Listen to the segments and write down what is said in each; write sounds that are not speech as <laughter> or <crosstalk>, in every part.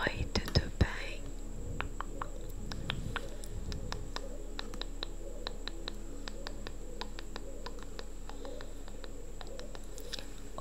Oi, tudo bem?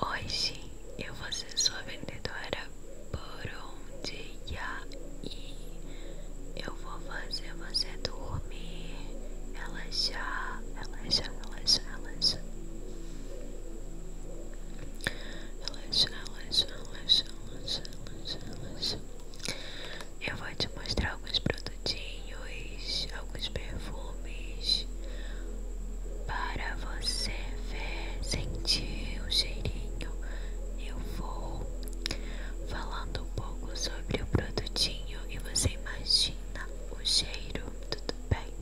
Hoje eu vou ser sua vendedora por um dia e eu vou fazer você dormir, já, relaxar, já, relaxar, relaxar. Relaxa, relaxa, relaxa, relaxa, relaxa, relaxa. Eu vou te mostrar alguns produtinhos, alguns perfumes para você ver, sentir o cheirinho. Eu vou falando um pouco sobre o produtinho cheiro e você imagina o cheiro, tudo bem?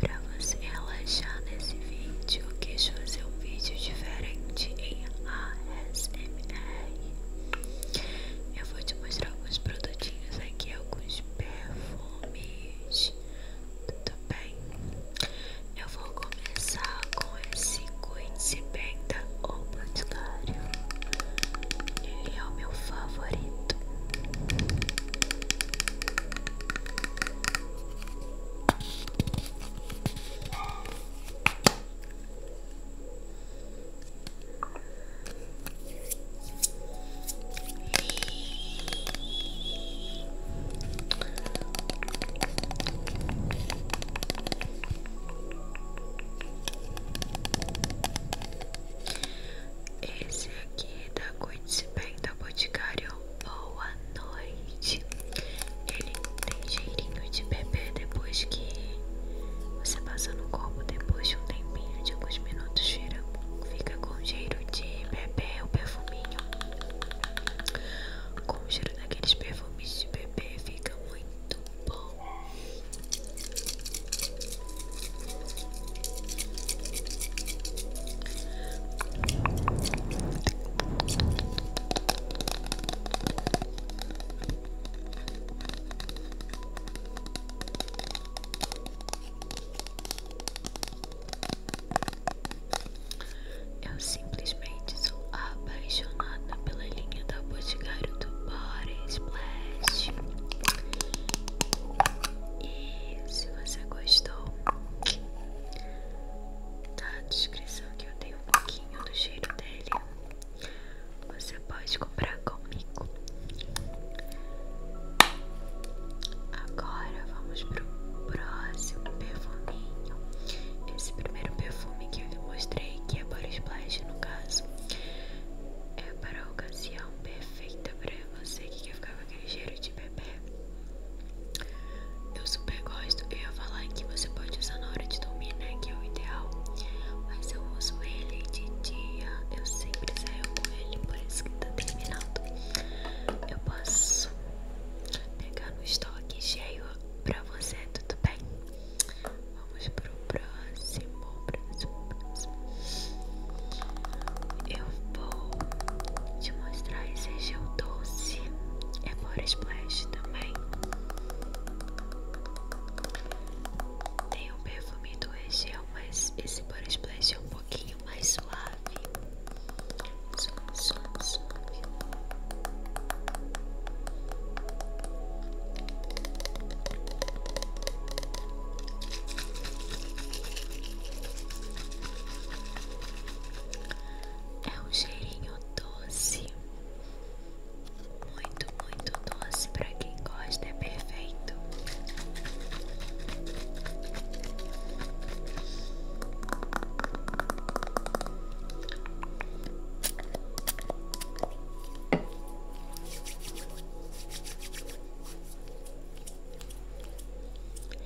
Para você relaxar nesse vídeo, eu quis fazer um vídeo diferente em ASMR. Eu vou te mostrar alguns produtinhos aqui, alguns perfumes tudo bem? Eu vou começar com esse cuide-se bem Ele é o meu favorito. Esse aqui da Cuide-se Bem da Boticário. Boa noite. Ele tem cheirinho de bebê depois que você passa no copo. Depois de um tempinho, de minutos, vira, fica com cheiro de bebê o perfuminho com o cheiro daqueles perfumes de bebê fica muito bom. Eu simplesmente sou apaixonada pela linha da Boticário do Body Splash. E se você gostou, tá na descrição que eu dei um pouquinho do cheiro dele, você pode comprar comigo. Agora vamos pro próximo perfuminho. Esse primeiro perfume que eu lhe mostrei, que é Body Splash no caso, é para a ocasião perfeita para você que quer ficar com aquele cheiro de bebê. Eu super gosto, eu ia falar que você pode usar na hora de dormir, né? Que é o ideal. Mas eu uso ele de dia, eu sempre saio com ele, por isso que tá terminado Eu posso pegar no estoque estou aqui cheio pra você, tudo bem? Vamos pro próximo, Eu vou te mostrar esse gel doce. É por splash também. Tem um perfume do gel, mas esse por splash é um pouquinho mais suave suave, suave, suave. É um cheirinho doce, muito, muito doce. Para quem gosta, é perfeito.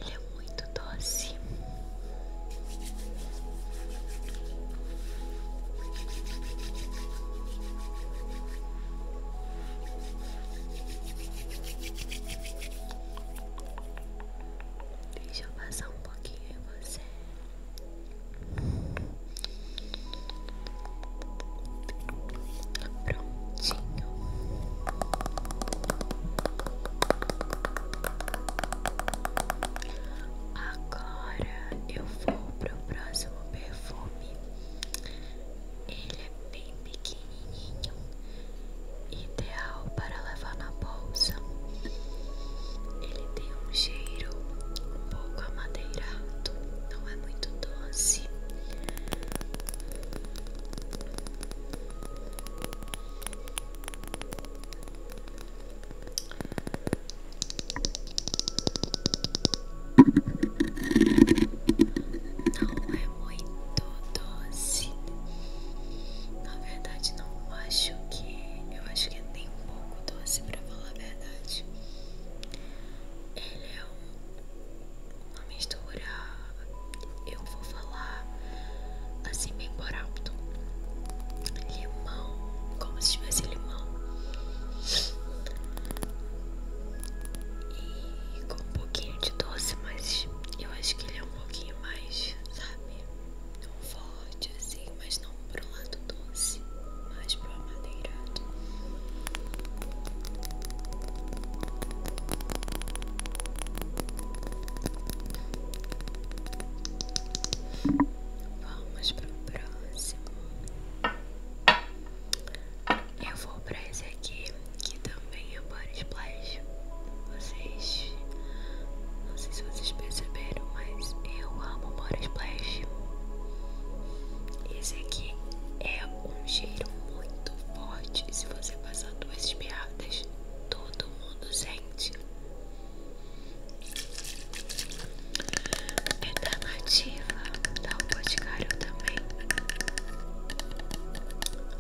Ele é muito doce. Deixa eu passar um pouquinho em você. Prontinho. Agora eu vou pro próximo perfume. Ele é bem pequenininho ideal para levar na bolsa. Ele tem um cheiro um pouco amadeirado, não é muito doce. Não é muito doce, na verdade, não acho que. Eu acho que é nem um pouco doce, pra falar a verdade. Ele é uma mistura. Eu vou falar assim, bem por alto: limão, como se tivesse limão. E com um pouquinho de doce, mas eu acho que ele é um pouquinho mais, sabe? não forte assim, mas não para pro lado doce, mas pro amadeirado. Vamos para o próximo. Eu vou para esse aqui que também e o body splash. Vocês, não sei se vocês perceberam, mas eu amo body splash. Esse aqui é um cheiro muito forte. Se você passar duas espiadas, todo mundo sente. É da Nativa, da Boticário também.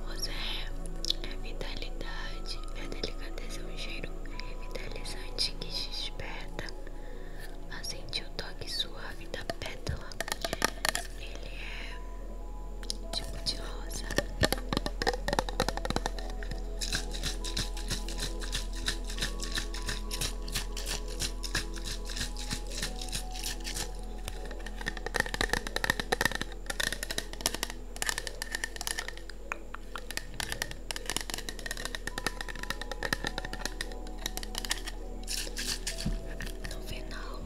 Rosé é vitalidade presente e a delicadeza é um cheiro revitalizante que desperta a sentir o toque suave da pétala. Ele é tipo de rosa. No final,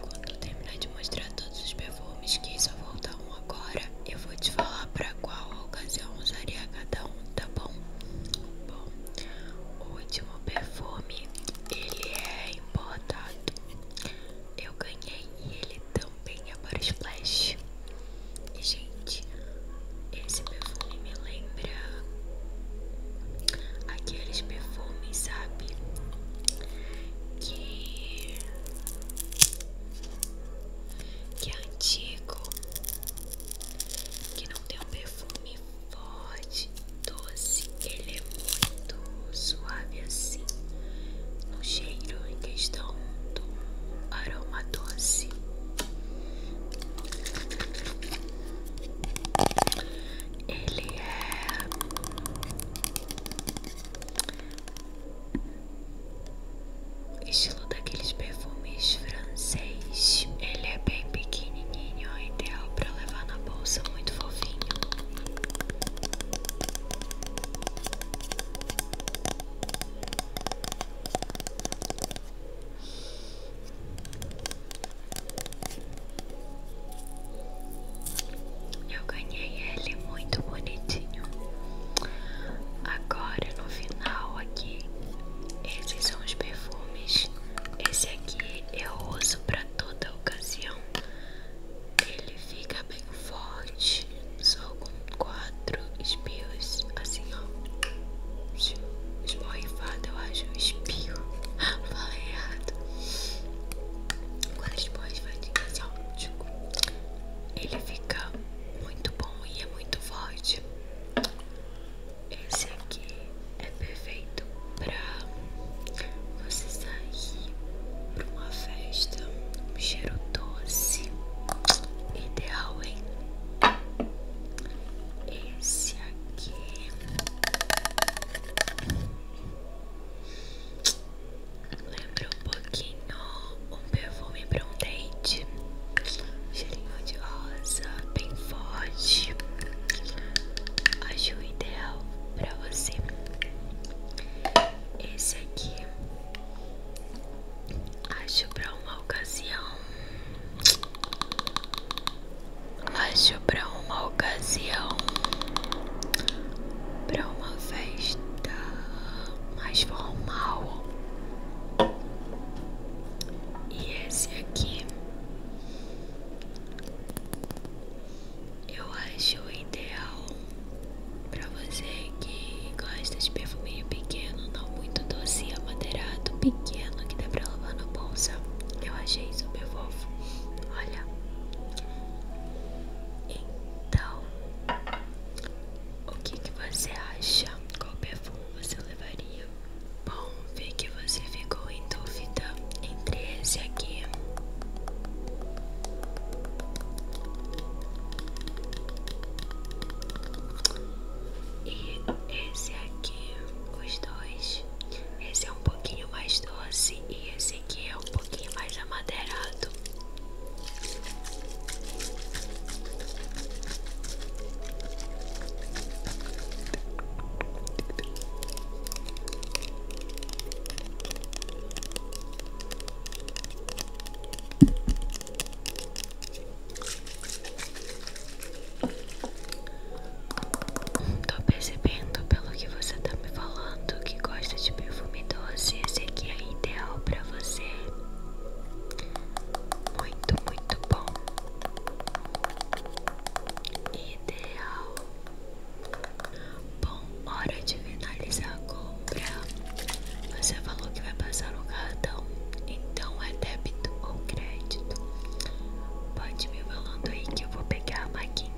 quando eu terminar de mostrar todos os perfumes que só volta um agora, eu vou te falar pra qual ocasião usaria cada um, tá bom? Bom, o último perfume, ele é importado. Eu ganhei e ele também é para splash. E gente, esse perfume me lembra aqueles perfumes, sabe? Que que é antigo, que não tem um perfume forte, doce, ele é muito suave assim, no cheiro em questão do aroma doce. Ele é estilo daqueles perfumes francês. Ele é bem pequenininho, é ideal para levar na bolsa, muito fofinho. Eu ganhei ele muito bonitinho. Agora no final aqui, esses são os perfumes. Esse aqui eu uso para toda ocasião. Ele fica bem forte, só com quatro espios, assim ó, esborrifado, eu acho, espio, <laughs> falei errado, quatro esborrifadinhos, assim ó, tipo, ele fica muito bom e é muito forte. Esse aqui é perfeito pra você sair para uma festa, um cheiro doce, ideal, hein? Esse aqui lembra um pouquinho um perfume para um date, cheirinho de rosa, bem forte. Acho ideal para você. Esse aqui acho pra uma ocasião. Acho pra uma ocasião. Pra uma festa mais formal. E esse aqui eu acho ideal para você que gosta de perfuminho pequeno, não muito doce, amadeirado, pequeno, que dá pra lavar na bolsa. Eu achei super fofo. Olha. Então, o que, que você acha? Qual perfume você levaria? Bom, vi que você ficou em dúvida entre esse aqui e esse aqui, os dois, esse é um pouquinho mais doce e esse aqui é um pouquinho mais amadeirado. Tô percebendo pelo que você tá me falando que gosta de perfume doce. Esse aqui é ideal pra você. Muito, muito bom. Ideal Bom, hora de finalizar a compra. Você falou que vai passar no cartão, então é débito ou crédito? Pode me falando aí que eu vou pegar a maquininha.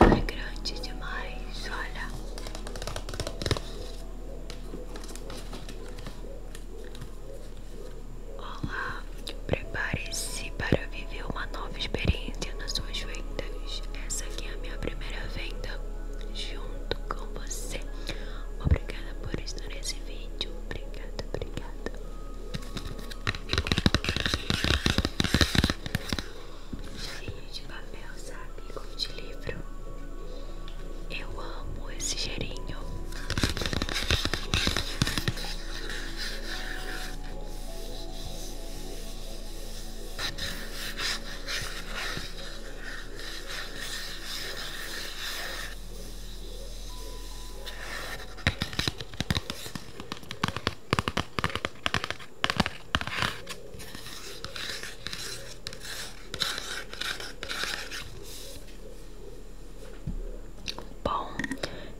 Ela é grande demais, olha. Olá, prepare-se para viver uma nova experiência nas suas vendas. Essa aqui é a minha primeira venda junto com você. Obrigada por estar nesse vídeo. Obrigada, obrigada. Cheirinho de papel, sabe? Como de livro. Eu amo esse gerinho. Bom,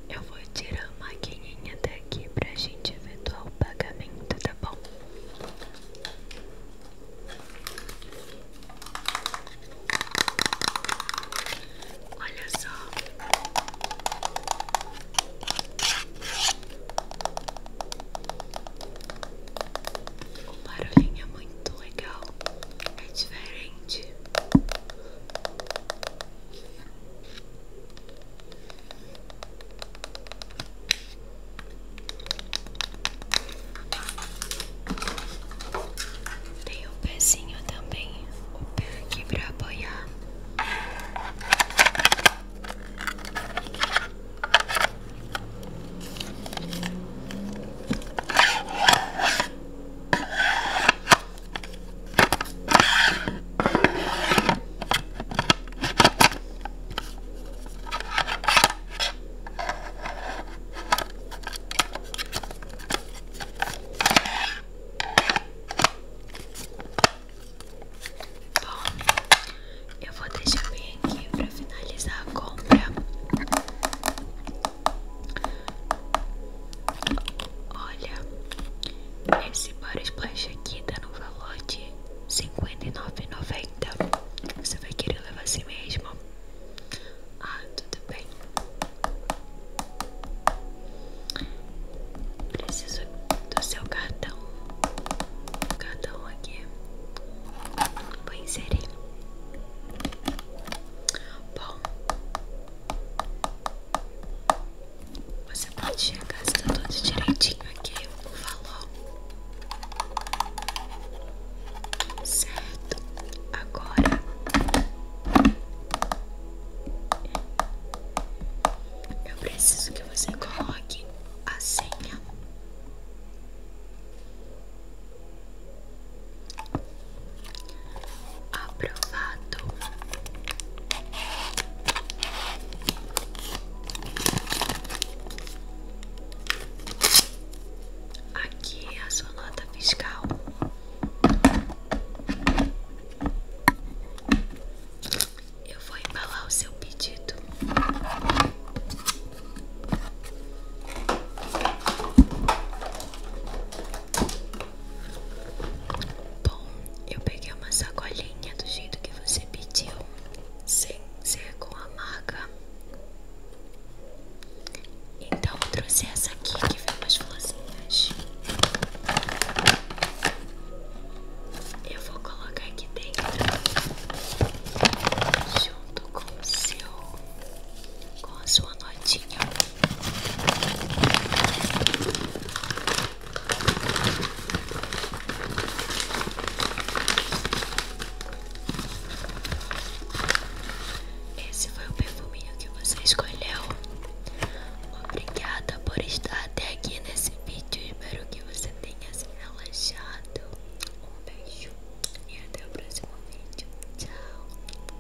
eu vou tirar a maquininha daqui pra gente ver o pagamento, tá bom? Olha só. O barulhinho é muito legal. É diferente. Tem um pezinho também, o pé aqui pra apoiar. Bom, eu vou deixar bem aqui para finalizar a compra. Olha, esse bar splash aqui tá no valor de R$ 59,90. Você vai querer levar assim mesmo? Ah, tudo bem? Preciso do seu cartão. O cartão aqui. Vou inserir. Bom. Você pode chegar, está tudo direitinho aqui, o valor. Certo. Agora eu preciso que você coloque a senha. Aprovado. Aqui é a sua nota fiscal. Eu vou embalar o seu pedido. Bom, eu peguei uma sacolinha do jeito que você pediu, sem ser com a marca então trouxe essa aqui que vem umas florzinhas. Eu vou colocar aqui dentro junto com o seu com a sua notinha. Esse foi o perfuminho que você escolheu. Obrigada por estar até aqui nesse vídeo. Espero que você tenha se relaxado. Um beijo e até o próximo vídeo. Tchau.